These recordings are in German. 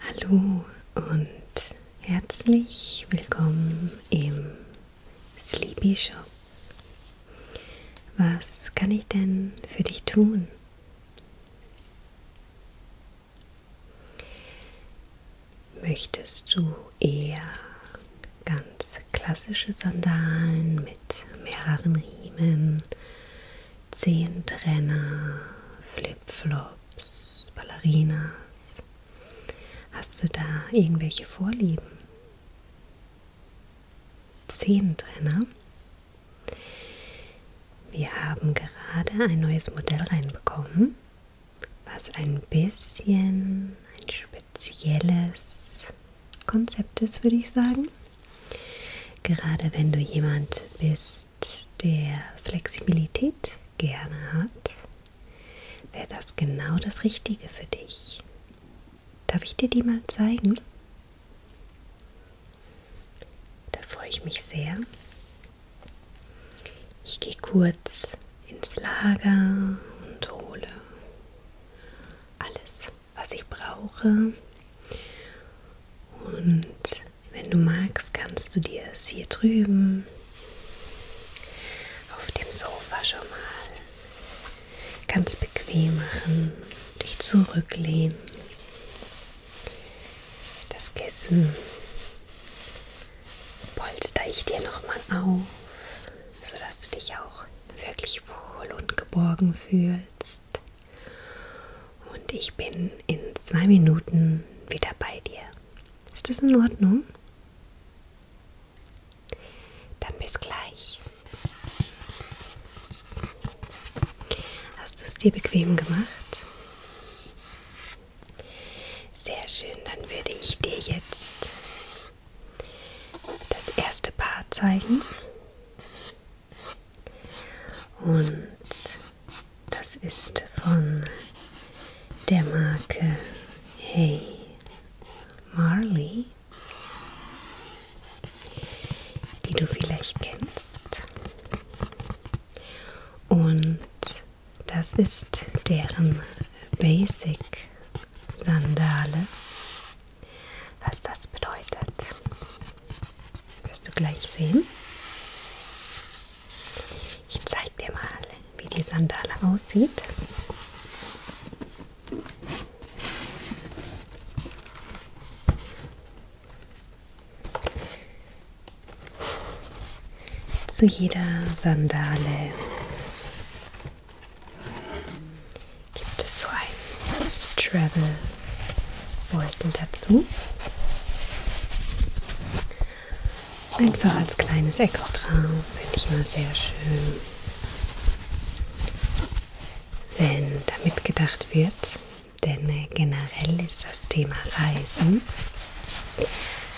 Hallo und herzlich willkommen im Sleepy Shop. Was kann ich denn für dich tun? Möchtest du eher ganz klassische Sandalen mit mehreren Riemen Zehntrenner, Flipflops, Ballerinas. Hast du da irgendwelche Vorlieben? Zehntrenner. Wir haben gerade ein neues Modell reinbekommen, was ein bisschen ein spezielles Konzept ist, würde ich sagen. Gerade wenn du jemand bist, Geist der Flexibilität gerne hat, wäre das genau das Richtige für dich. Darf ich dir die mal zeigen? Da freue ich mich sehr. Ich gehe kurz ins Lager und hole alles, was ich brauche. Und wenn du magst, kannst du dir es hier drüben auf dem Sofa schon mal ganz bequem machen, dich zurücklehnen, das Kissen polster ich dir nochmal auf, sodass du dich auch wirklich wohl und geborgen fühlst. Und ich bin in zwei Minuten wieder bei dir. Ist das in Ordnung? Dann bis gleich. Hast du es dir bequem gemacht? Sehr schön, dann würde ich dir jetzt das erste Paar zeigen. Und das ist von der Marke Hey Marley, die du vielleicht kennst. Und das ist deren Basic Sandale. Was das bedeutet, wirst du gleich sehen. Ich zeige dir mal, wie die Sandale aussieht. Zu jeder Sandale gibt es so ein Travel Beutel dazu. Einfach als kleines Extra finde ich immer sehr schön, wenn damit gedacht wird, denn generell ist das Thema Reisen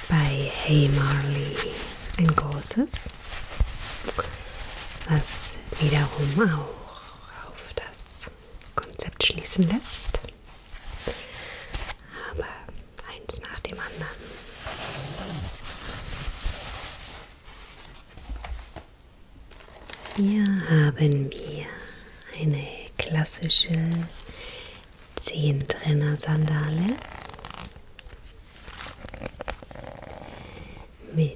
bei Hey Marley ein großes, was wiederum auch auf das Konzept schließen lässt. Aber eins nach dem anderen. Hier haben wir eine klassische Zehentrenner-Sandale mit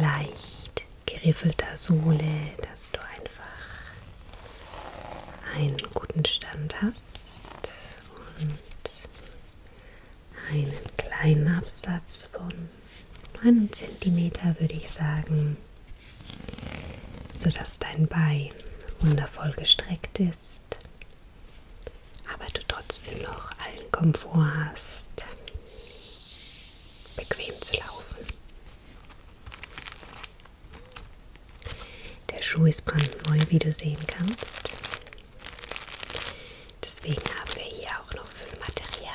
leicht geriffelter Sohle, dass du einfach einen guten Stand hast und einen kleinen Absatz von einem Zentimeter, würde ich sagen, sodass dein Bein wundervoll gestreckt ist, aber du trotzdem noch allen Komfort hast, bequem zu laufen. Der Schuh ist brandneu, wie du sehen kannst. Deswegen haben wir hier auch noch Füllmaterial.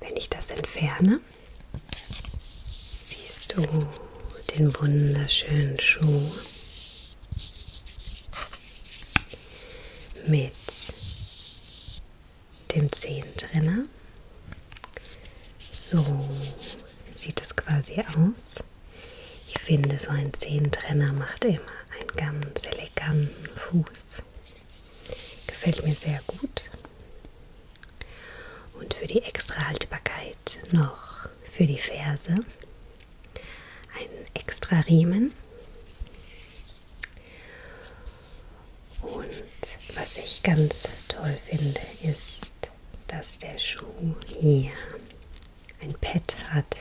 Wenn ich das entferne, Siehst du den wunderschönen Schuh mit dem Zehen drinnen? So sieht es quasi aus. Ich finde, so ein Zehentrenner macht immer einen ganz eleganten Fuß. Gefällt mir sehr gut. Und für die extra Haltbarkeit noch für die Ferse, einen extra Riemen. Und was ich ganz toll finde, ist, dass der Schuh hier ein Pad hat,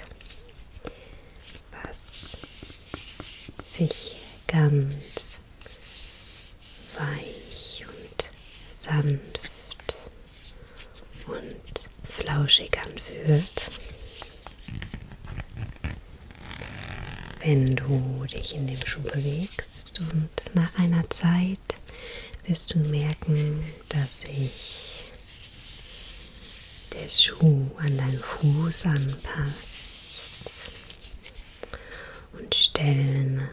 was sich ganz weich und sanft und flauschig anfühlt. Wenn du dich in dem Schuh bewegst und nach einer Zeit wirst du merken, dass sich der Schuh an deinen Fuß anpasst und Stellen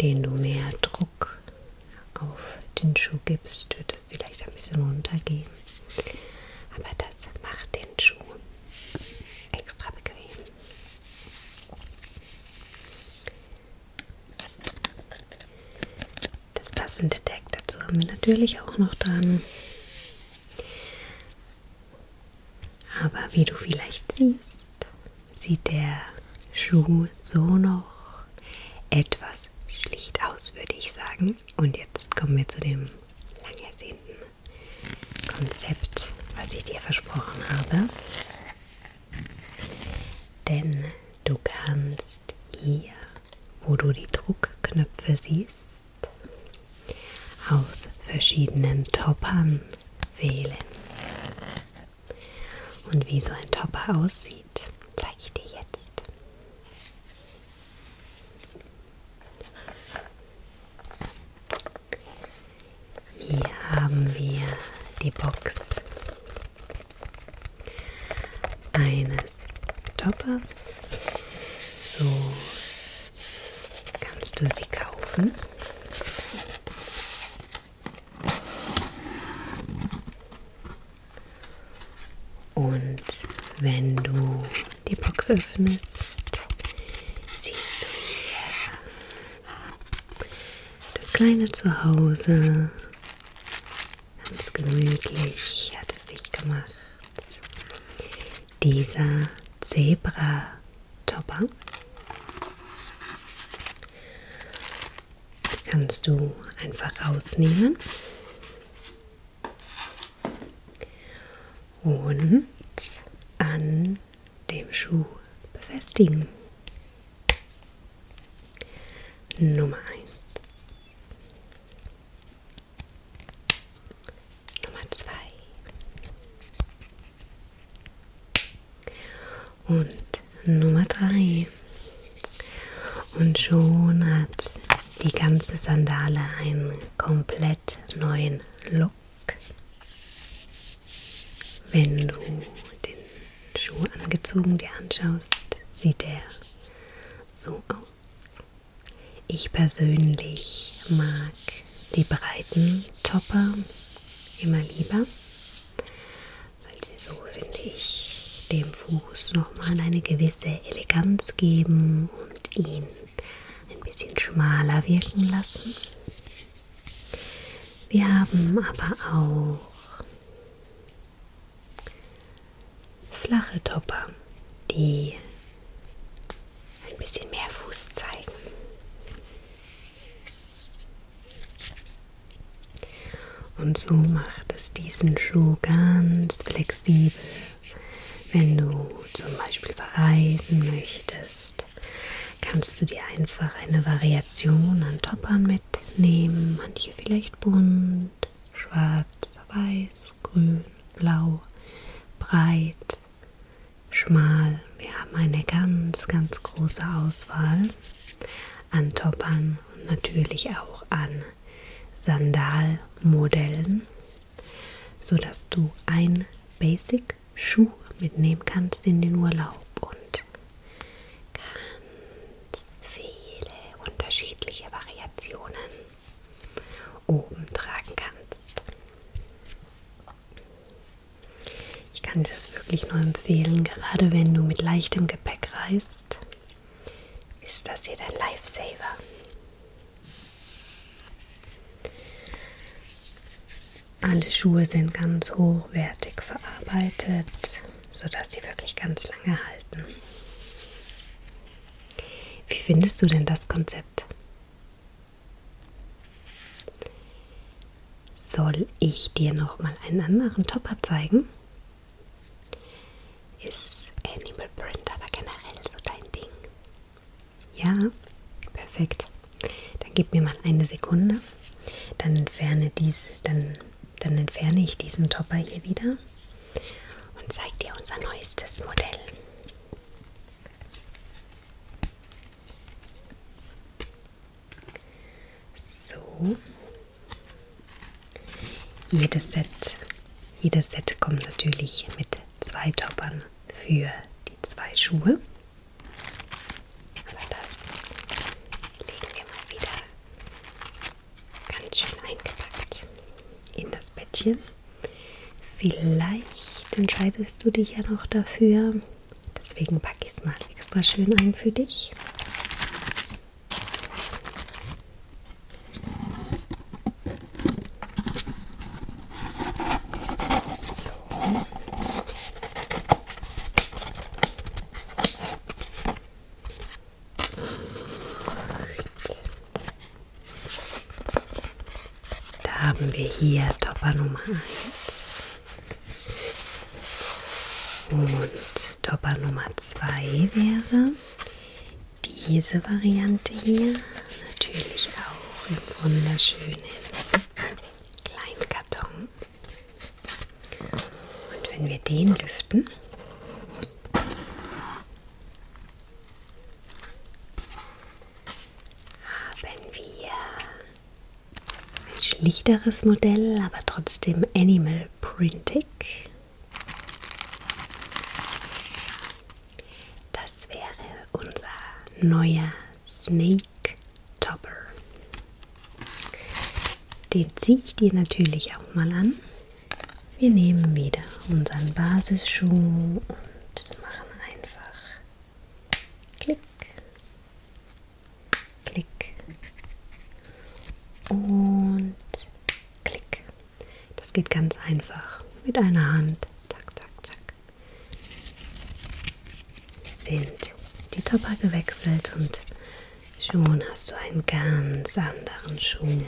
den du mehr Druck auf den Schuh gibst, wird es vielleicht ein bisschen runtergehen. Aber das macht den Schuh extra bequem. Das passende Tag dazu haben wir natürlich auch noch dran. Aber wie du vielleicht siehst, sieht der Schuh so noch etwas schlicht aus, würde ich sagen. Und jetzt kommen wir zu dem lang ersehnten Konzept, was ich dir versprochen habe. Denn du kannst hier, wo du die Druckknöpfe siehst, aus verschiedenen Toppern wählen. Und wie so ein Topper aussieht, zeige ich dir jetzt. Hier haben wir die Box eines Toppers. So kannst du sie kaufen. Und wenn du die Box öffnest, siehst du hier das kleine Zuhause. Ganz gemütlich hat es sich gemacht. Dieser Zebra-Topper kannst du einfach rausnehmen und an dem Schuh befestigen. Nummer eins, Nummer zwei, und Nummer 3. Und schon hat die ganze Sandale einen komplett neuen Look. Wenn du den Schuh angezogen dir anschaust, sieht er so aus. Ich persönlich mag die breiten Topper immer lieber, weil sie so, finde ich, dem Fuß nochmal eine gewisse Eleganz geben und ihn ein bisschen schmaler wirken lassen. Wir haben aber auch flache Topper, die ein bisschen mehr Fuß zeigen. Und so macht es diesen Schuh ganz flexibel. Wenn du zum Beispiel verreisen möchtest, kannst du dir einfach eine Variation an Toppern mitnehmen. Manche vielleicht bunt, schwarz, weiß, grün, blau, breit, schmal. Wir haben eine ganz, ganz große Auswahl an Toppern und natürlich auch an Sandalmodellen, sodass du ein Basic-Schuh mitnehmen kannst in den Urlaub und ganz viele unterschiedliche Variationen oben tragen kannst. Ich kann dir das wirklich nur empfehlen, gerade wenn du mit leichtem Gepäck reist, ist das hier dein Lifesaver. Alle Schuhe sind ganz hochwertig verarbeitet, sodass sie wirklich ganz lange halten. Wie findest du denn das Konzept? Soll ich dir noch mal einen anderen Topper zeigen? Ist Animal Print aber generell so dein Ding? Ja, perfekt. Dann gib mir mal eine Sekunde. Dann entferne, diese, dann, dann entferne ich diesen Topper hier wieder und zeige dir unser neuestes Modell. So. Jedes Set, jedes Set kommt natürlich mit zwei Toppern für die zwei Schuhe. Aber das legen wir mal wieder ganz schön eingepackt in das Bettchen. Vielleicht entscheidest du dich ja noch dafür, Deswegen packe ich es mal extra schön ein für dich. So. Da haben wir hier Topper Nummer 1. Und Topper Nummer 2 wäre diese Variante hier. Natürlich auch im wunderschönen kleinen Karton. Und wenn wir den lüften, haben wir ein schlichteres Modell, aber trotzdem Animal Printing. Das wäre unser neuer Snake Topper. Den ziehe ich dir natürlich auch mal an. Wir nehmen wieder unseren Basisschuh und machen einfach Klick Klick und Klick. Das geht ganz einfach mit einer Hand. Zack, zack, zack. Sind die Topper gewechselt und schon hast du einen ganz anderen Schuh,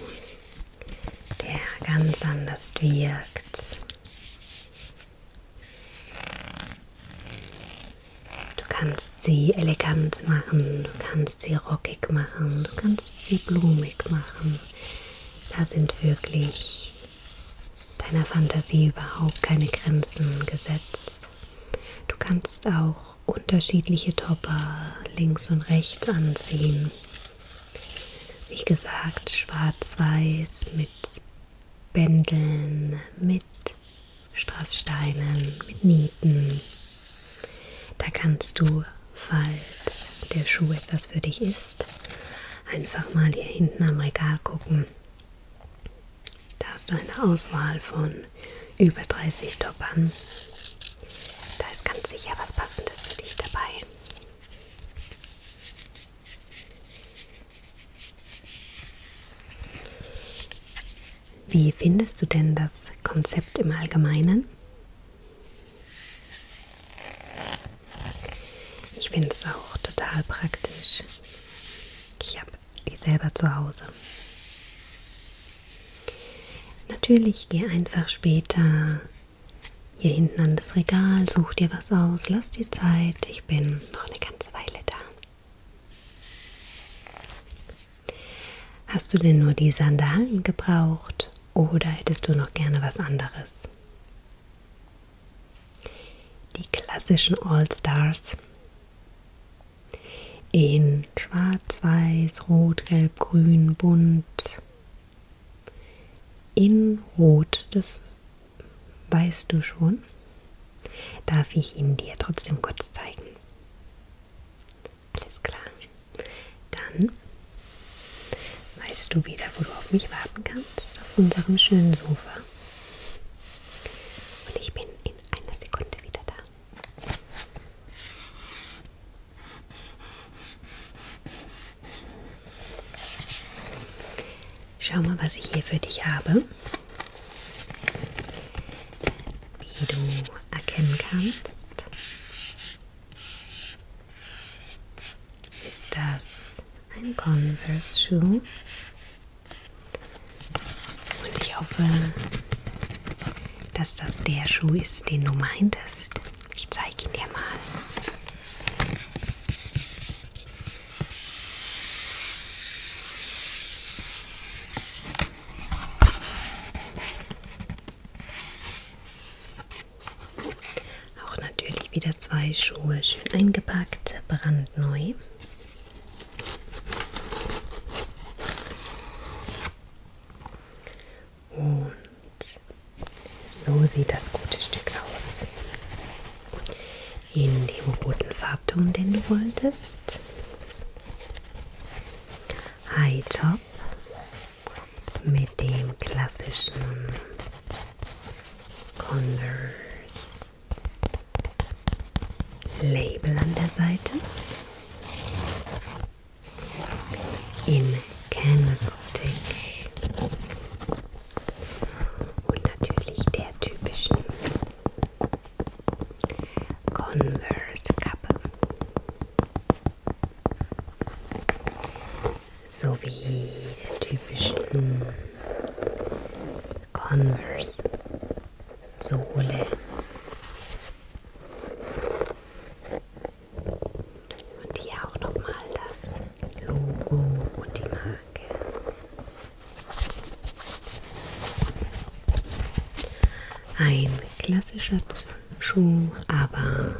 der ganz anders wirkt. Du kannst sie elegant machen, du kannst sie rockig machen, du kannst sie blumig machen. Da sind wirklich deiner Fantasie überhaupt keine Grenzen gesetzt. Du kannst auch unterschiedliche Topper links und rechts anziehen. Wie gesagt, schwarz-weiß mit Bändeln, mit Strasssteinen, mit Nieten. Da kannst du, falls der Schuh etwas für dich ist, einfach mal hier hinten am Regal gucken. Da hast du eine Auswahl von über 30 Toppern. Da ist ganz sicher was Passendes für dich dabei. Wie findest du denn das Konzept im Allgemeinen? Ich finde es auch total praktisch. Ich habe die selber zu Hause. Natürlich geh einfach später hier hinten an das Regal, such dir was aus, lass dir Zeit. Ich bin noch eine ganze Weile da. Hast du denn nur die Sandalen gebraucht oder hättest du noch gerne was anderes? Die klassischen All-Stars in Schwarz, Weiß, Rot, Gelb, Grün, Bunt. In Rot, das weißt du schon. Darf ich ihn dir trotzdem kurz zeigen? Alles klar. Dann weißt du wieder, wo du auf mich warten kannst, auf unserem schönen Sofa. Und ich bin in einer Sekunde wieder da. Schau mal, was ich hier für dich habe die du erkennen kannst, ist das ein Converse-Schuh. Und ich hoffe, dass das der Schuh ist, den du meintest. Ich zeige ihn dir mal. Auch natürlich wieder zwei Schuhe schön eingepackt, brandneu. Und so sieht das gute Stück aus in dem roten Farbton, den du wolltest. High Top mit dem klassischen Converse Label an der Seite. In Canvas Optik. Und natürlich der typischen Converse Kappe sowie den typischen hm, Converse Sohle und hier auch nochmal das Logo und die Marke ein klassischer Schuh, aber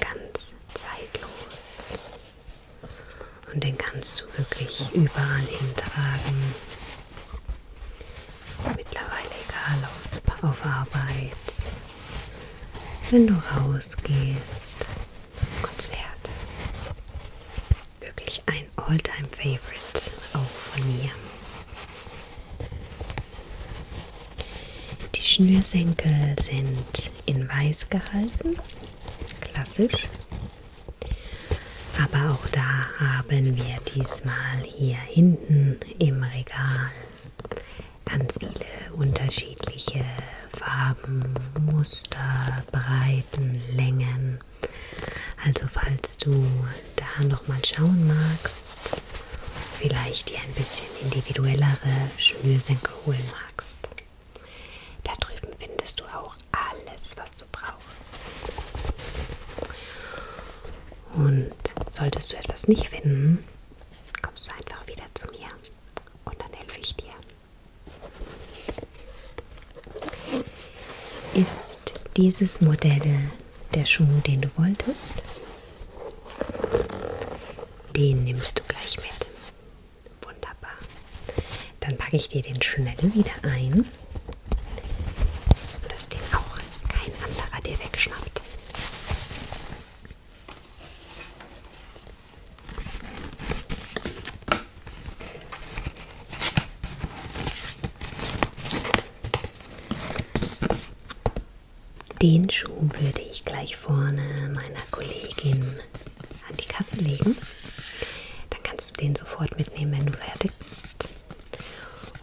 ganz zeitlos. Und den kannst du wirklich überall hintragen. Mittlerweile egal auf, auf Arbeit, wenn du rausgehst, Konzert. Wirklich ein Alltime Favorite auch von mir. Die Schnürsenkel sind in weiß gehalten, klassisch. Aber auch da haben wir diesmal hier hinten im Regal ganz viele unterschiedliche Farben, Muster, Breiten, Längen also falls du da nochmal schauen magst, vielleicht dir ein bisschen individuellere Schnürsenkel holen magst. Da drüben findest du auch alles, was du brauchst. Und solltest du etwas nicht finden, kommst du einfach wieder zu mir und dann helfe ich dir. Ist dieses Modell der Schuh, den du wolltest? Den nimmst du gleich mit. Wunderbar. Dann packe ich dir den schnell wieder ein, dass den auch kein anderer dir wegschnappt. Den Schuh würde ich gleich vorne meiner Kollegin an die Kasse legen. Dann kannst du den sofort mitnehmen, wenn du fertig bist.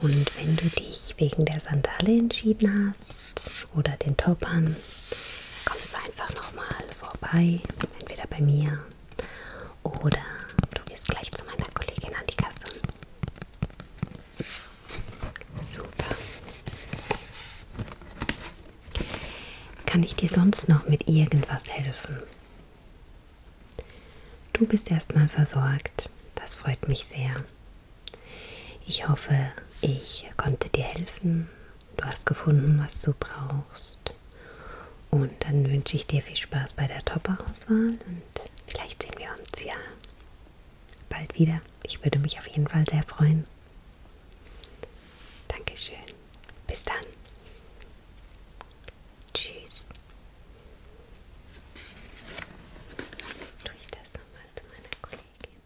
Und wenn du dich wegen der Sandale entschieden hast oder den Toppern, kommst du einfach nochmal vorbei, entweder bei mir oder du gehst gleich zu meiner Kollegin an die Kasse. Super. Kann ich dir sonst noch mit irgendwas helfen? Du bist erstmal versorgt. Das freut mich sehr. Ich hoffe, ich konnte dir helfen. Du hast gefunden, was du brauchst. Und dann wünsche ich dir viel Spaß bei der Topper-Auswahl und vielleicht sehen wir uns ja bald wieder. Ich würde mich auf jeden Fall sehr freuen. Dankeschön. Bis dann. Tschüss. Tue ich das nochmal zu meiner Kollegin?